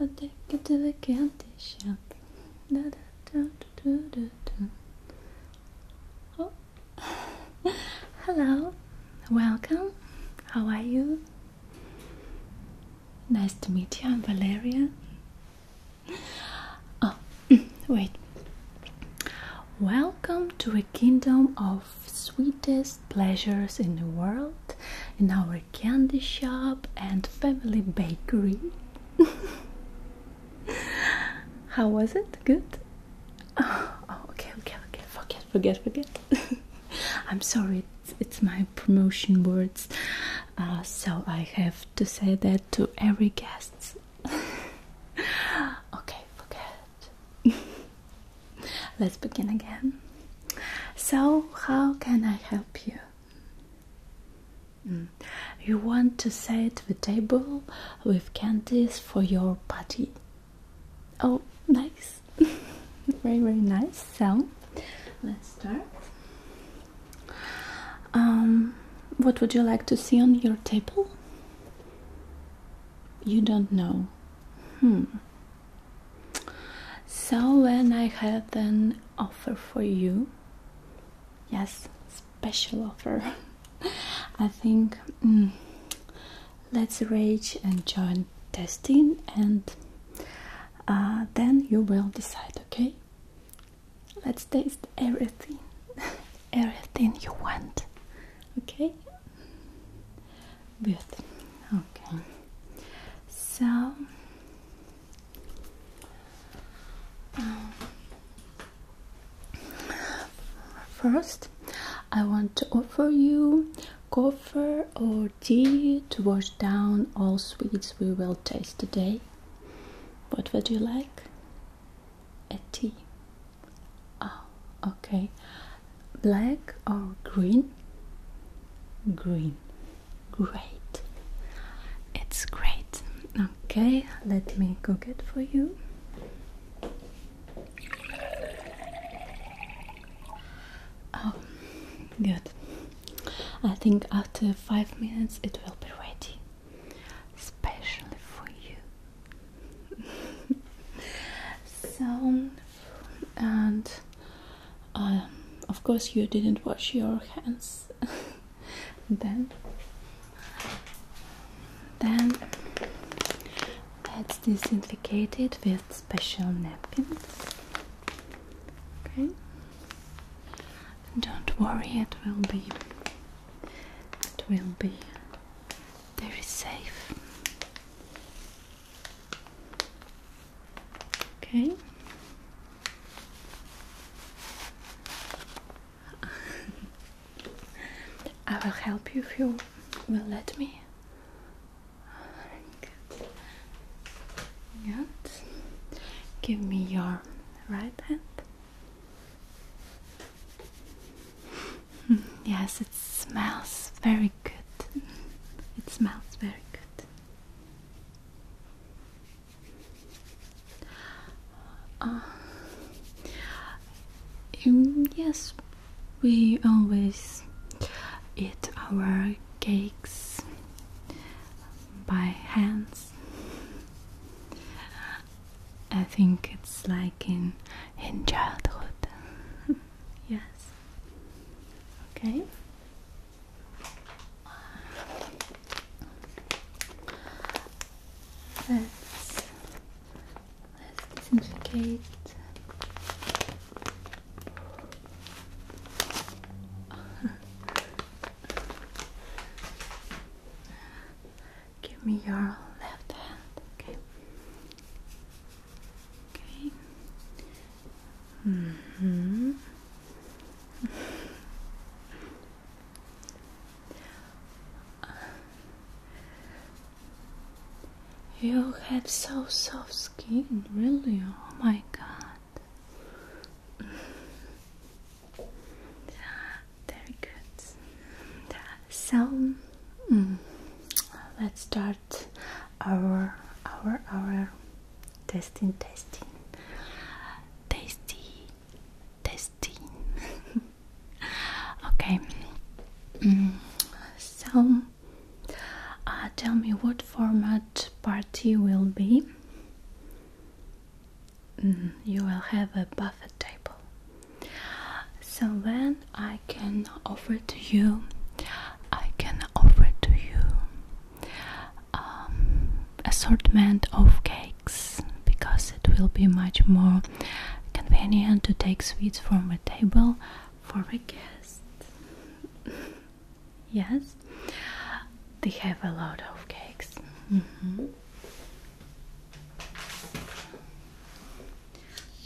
I'll take you to the candy shop. Hello, welcome. How are you? Nice to meet you. I'm Valeria. Oh, wait. Welcome to a kingdom of sweetest pleasures in the world in our candy shop and family bakery. How was it? Good? Oh, oh, okay, okay, okay. Forget, forget, forget. I'm sorry, it's, my promotion words. Uh, so I have to say that to every guest. okay, forget. Let's begin again. So, how can I help you? Mm. You want to set the table with candies for your party? Oh, nice! very, very nice. So, let's start. Um, what would you like to see on your table? You don't know. Hmm. So when I had an offer for you, yes, special offer. I think mm, let's rage and join testing, and uh, then you will decide. Okay, let's taste everything, everything you want. Okay, Good. Okay. So um, first, I want to offer you coffee or tea to wash down all sweets we will taste today. What would you like? A tea. Oh, okay black or green green great it's great okay let me cook it for you oh good i think after five minutes it will be ready especially for you so and um, of course you didn't wash your hands then then let's disinfect it with special napkins okay don't worry it will be it will be very safe Okay. I will help you if you will let me. Good. Give me your right hand yes, it smells very good. It smells very good. Uh, um, yes, we always eat our cakes by hands. I think it's like in in childhood. Yes. Okay. Let's let's disinfectate. Give me your left hand, okay? Okay. hmm. you have so soft skin, really. Oh my god. Very good. So, mm, let's start our our our testing testing tasty testing okay mm, so uh, tell me what format party will be mm, you will have a buffet table so then I can offer to you, I can offer to you um, assortment of cakes because it will be much more convenient to take sweets from a table for a guests. yes, they have a lot of cakes. Mm-hmm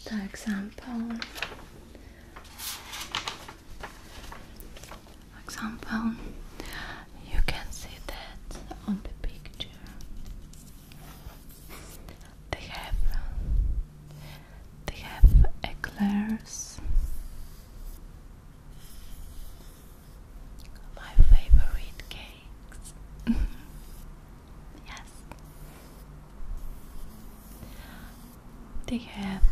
the example example you can see that on the picture they have they have eclairs my favorite cakes yes they have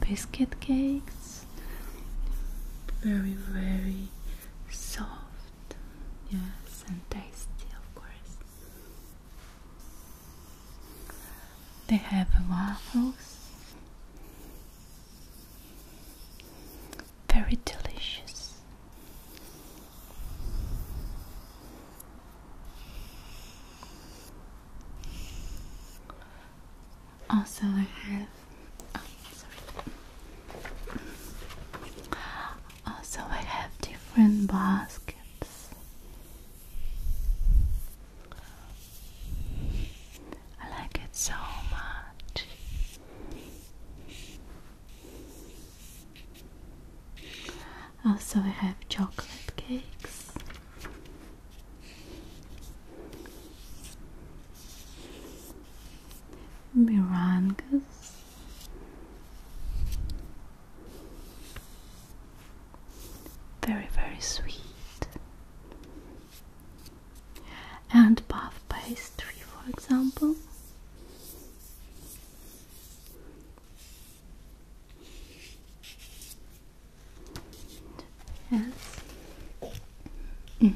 biscuit cakes, very, very soft, yes, and tasty, of course. They have waffles very delicious. Also, I have. Oh, also, I have different baskets. I like it so much. Also, I have chocolate cakes. Meringues, very, very sweet and puff pastry, for example. Yes. Mm.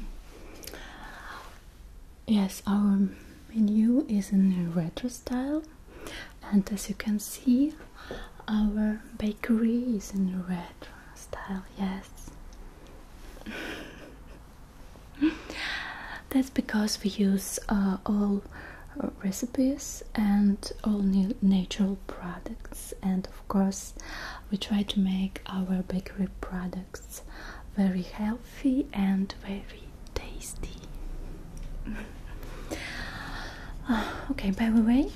Yes, our menu is in retro style, and as you can see, our bakery is in retro style. Yes. That's because we use uh, all recipes and all new natural products, and of course, we try to make our bakery products very healthy and very tasty. Ah, okay, by the way,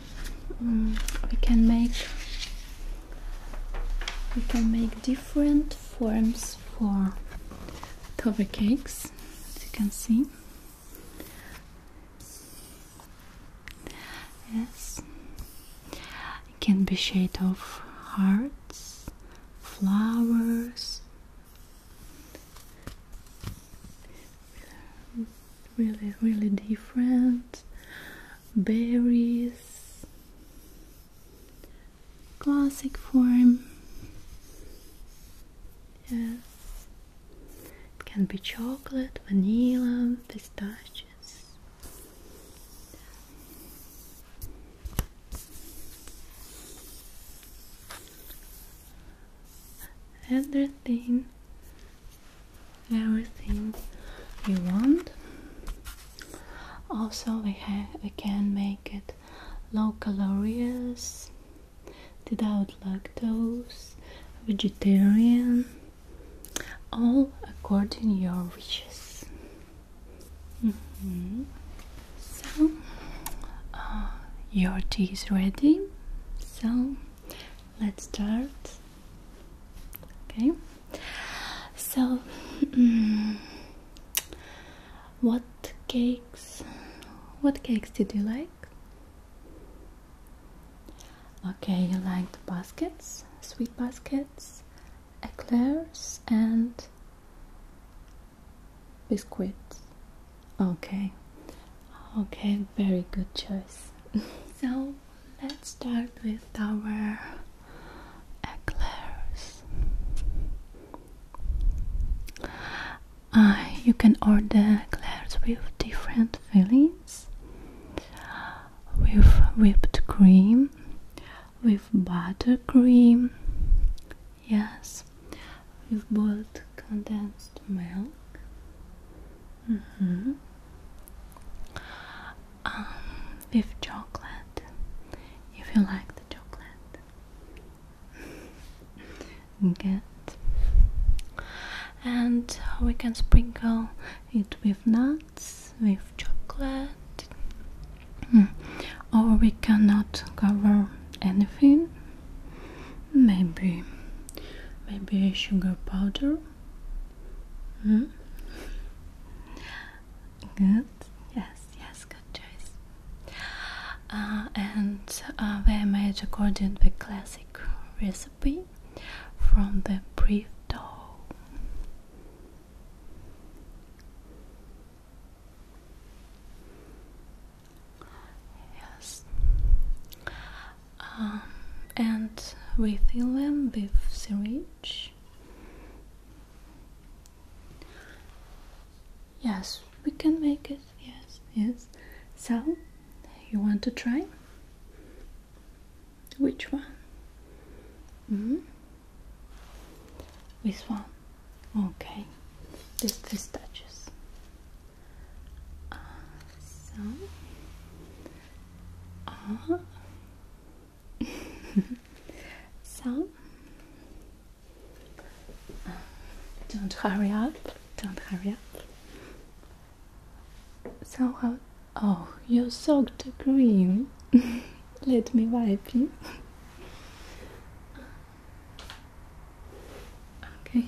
mm, we can make we can make different forms for toffee cakes as you can see yes it can be shade of hearts flowers really really different berries classic form yes it can be chocolate vanilla pistachios everything everything you want also, we, we can make it low calories, without lactose, vegetarian, all according your wishes. Mm-hmm. So, uh, your tea is ready. So, let's start. Okay. So, mm, what cakes? What cakes did you like? Okay, you liked baskets, sweet baskets, eclairs, and biscuits. Okay, okay, very good choice. so, let's start with our eclairs. Uh, you can order eclairs with different fillings, with whipped cream, with buttercream, yes, with both condensed milk, Mm-hmm. Um, with chocolate if you like the chocolate good and we can sprinkle it with nuts with chocolate hmm. or we cannot cover anything maybe maybe a sugar powder Hmm? Good. Yes, yes, good choice. Uh, and we uh, made according the classic recipe from the brief dough. Yes um, and with them beef syringe yes we can make it yes yes so you want to try which one mm -hmm. this one okay this this touches uh, so uh-huh. so. Uh, don't hurry up. Don't hurry up. Somehow. Uh, oh, you soaked the green. Let me wipe you. okay.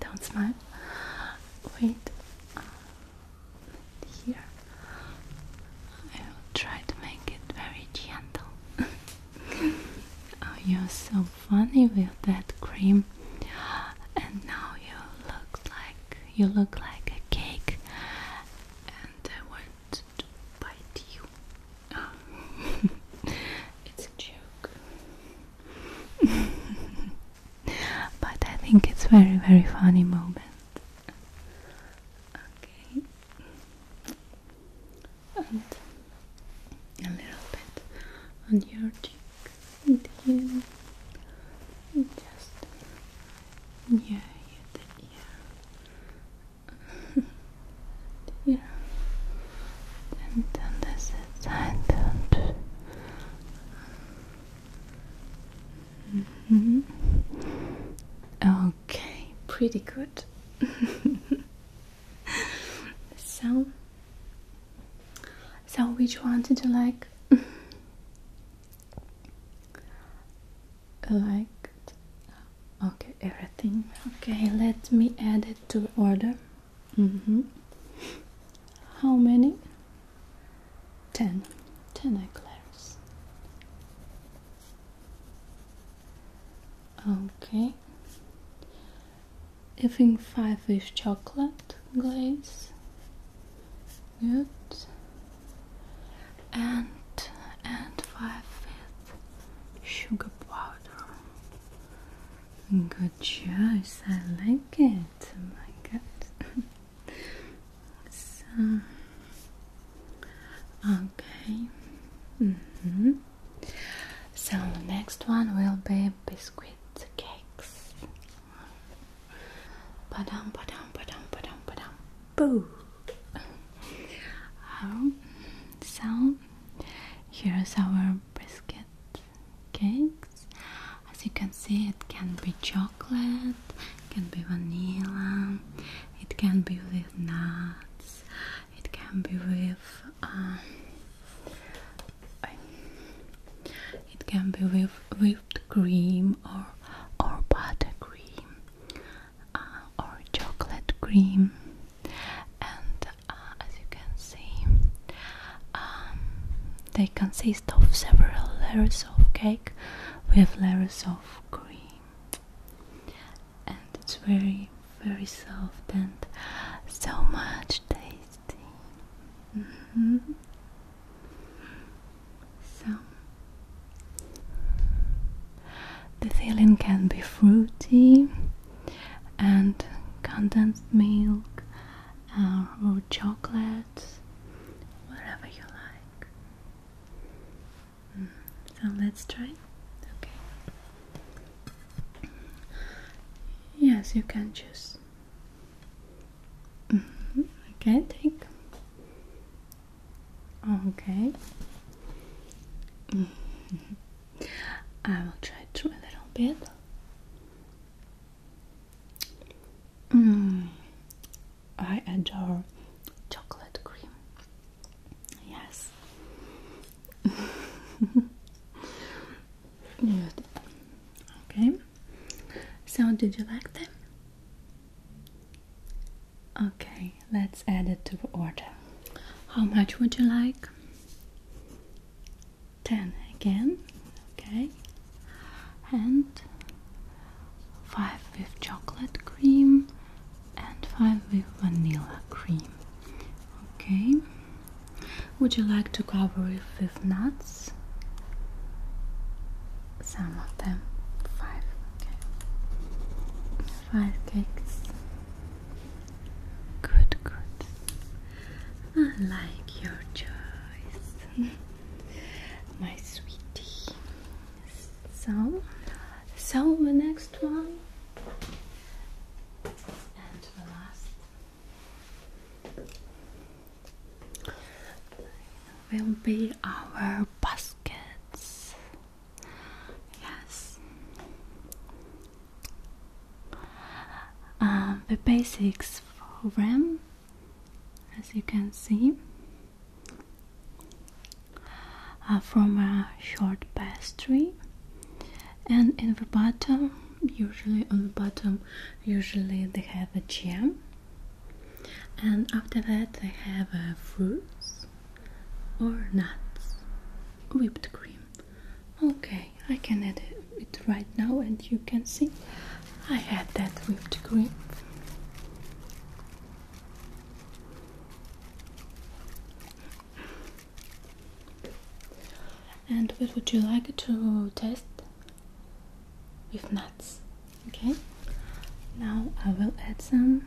Don't smile. Wait. Uh, here. I will try to make it very gentle. oh, you're so funny with that cream. And now you look like you look like a cake. And I want to bite you. it's a joke. but I think it's very very funny moment. Okay. And a little bit on your cheek and here. And just near the ear. yeah. Mm-hmm. okay, pretty good. so, so which one did you like? Liked. Okay, everything. Okay, let me add it to order. Mm -hmm. How many? Ten. Ten eclairs. Okay. I think five is chocolate glaze. Good. And and five is sugar powder. Good choice, I like it. Oh my god. so, okay. Mm-hmm. So, next one will be biscuit cakes. Padam, padam, padam, padam, padam. Boo! Oh, so, here's our biscuit cakes. As you can see, it can be chocolate, it can be vanilla, it can be with nuts, it can be with uh, it can be with whipped cream or or buttercream uh, or chocolate cream and uh, as you can see um, they consist of several layers of cake with layers of cream and it's very very soft and so much tasty mm the filling can be fruity and condensed milk uh, or chocolates, whatever you like. Mm, so let's try. Okay. Yes, you can choose. Mm -hmm. Okay, take. Okay. Mm-hmm. I will try to a little bit. Mm, I adore chocolate cream. Yes. Okay. So, did you like them? Okay, let's add it to the order. How much would you like? 10 again okay and 5 with chocolate cream and 5 with vanilla cream okay would you like to cover it with nuts some of them 5 okay 5 cakes Good, good. I like your choice, my sweetie. So, so the next one and the last will be our baskets. Yes. Um, the basics for them, as you can see, are from a short pastry, and in the bottom, usually on the bottom, usually they have a jam, and after that they have uh, fruits or nuts, whipped cream. Okay, I can edit it right now, and you can see I add that whipped cream. And what would you like to test? With nuts. Okay, now I will add some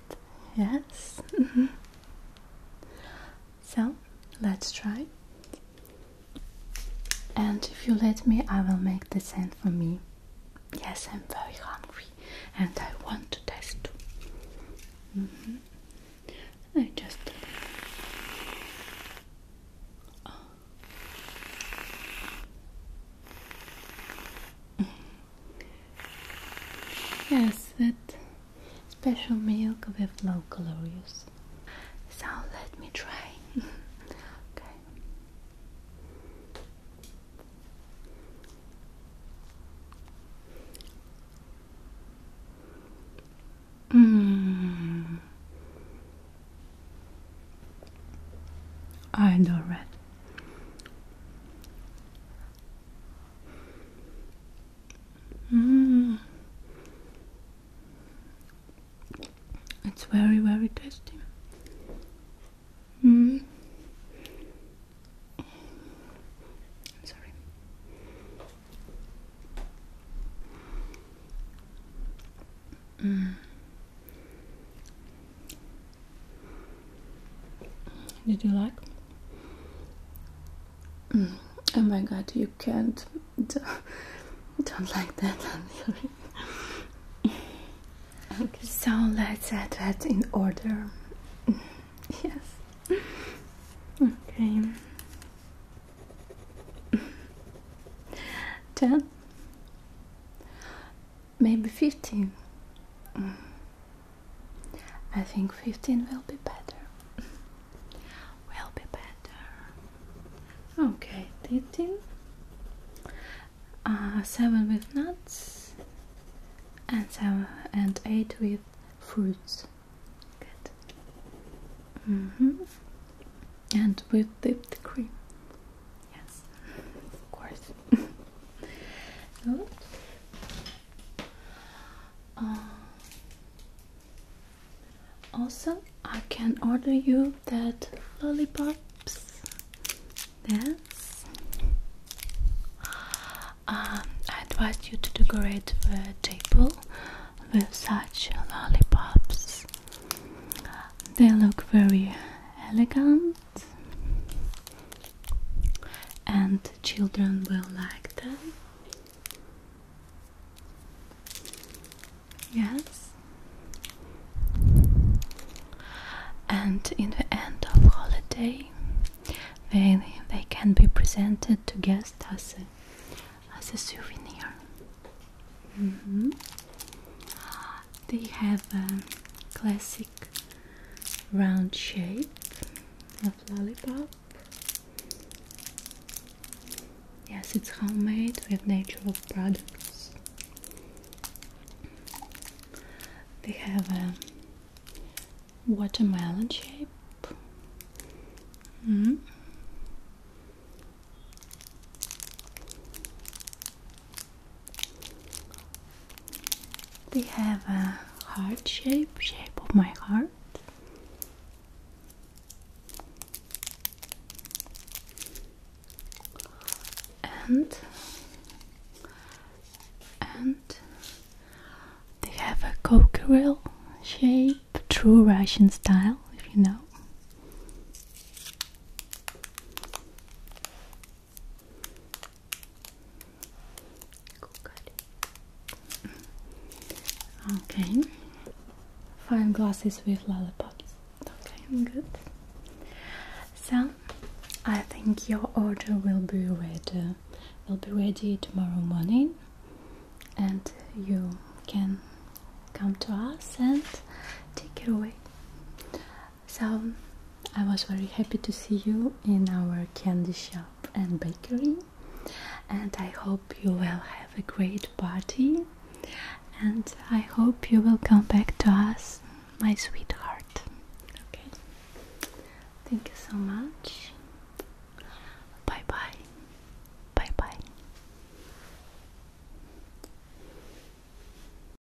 Yes. Mm-hmm. So let's try. And if you let me, I will make the sand for me. Yes, I'm very hungry and I want to taste too. Mm-hmm. I just. Oh. Mm-hmm. Yes, that special milk with low calories. So let me try. okay. Mm. I adore it. Mm. It's very, very tasty. Mm. Sorry. Mm. Did you like? Mm. Oh my god, you can't. Don't, like that, I'm sorry. okay. So let's add that in order. yes. Okay. Ten maybe 15. Mm. I think 15 will be better. will be better. Okay, 13. Uh, 7 with nuts and 7 and 8 with fruits. Good. -hmm. And with dipped cream. Yes, of course. Uh, also, I can order you that lollipops. Yes. Uh, I advise you to decorate the table with such lollipops. They look very elegant and children will like them. Yes. And in the end of holiday, they they can be presented to guests as a, as a souvenir. Mm-hmm. They have a classic round shape of lollipop. Yes, it's homemade with natural products. They have a watermelon shape. Mm. They have a heart shape, shape of my heart. And and they have a cockerill shape, true Russian style, if you know. Okay, five glasses with lollipops. Okay, good. So, I think your order will be ready. Will be ready tomorrow morning, and you can come to us and take it away. So I was very happy to see you in our candy shop and bakery, and I hope you will have a great party. And I hope you will come back to us, my sweetheart. Okay, thank you so much. Bye bye. Bye bye.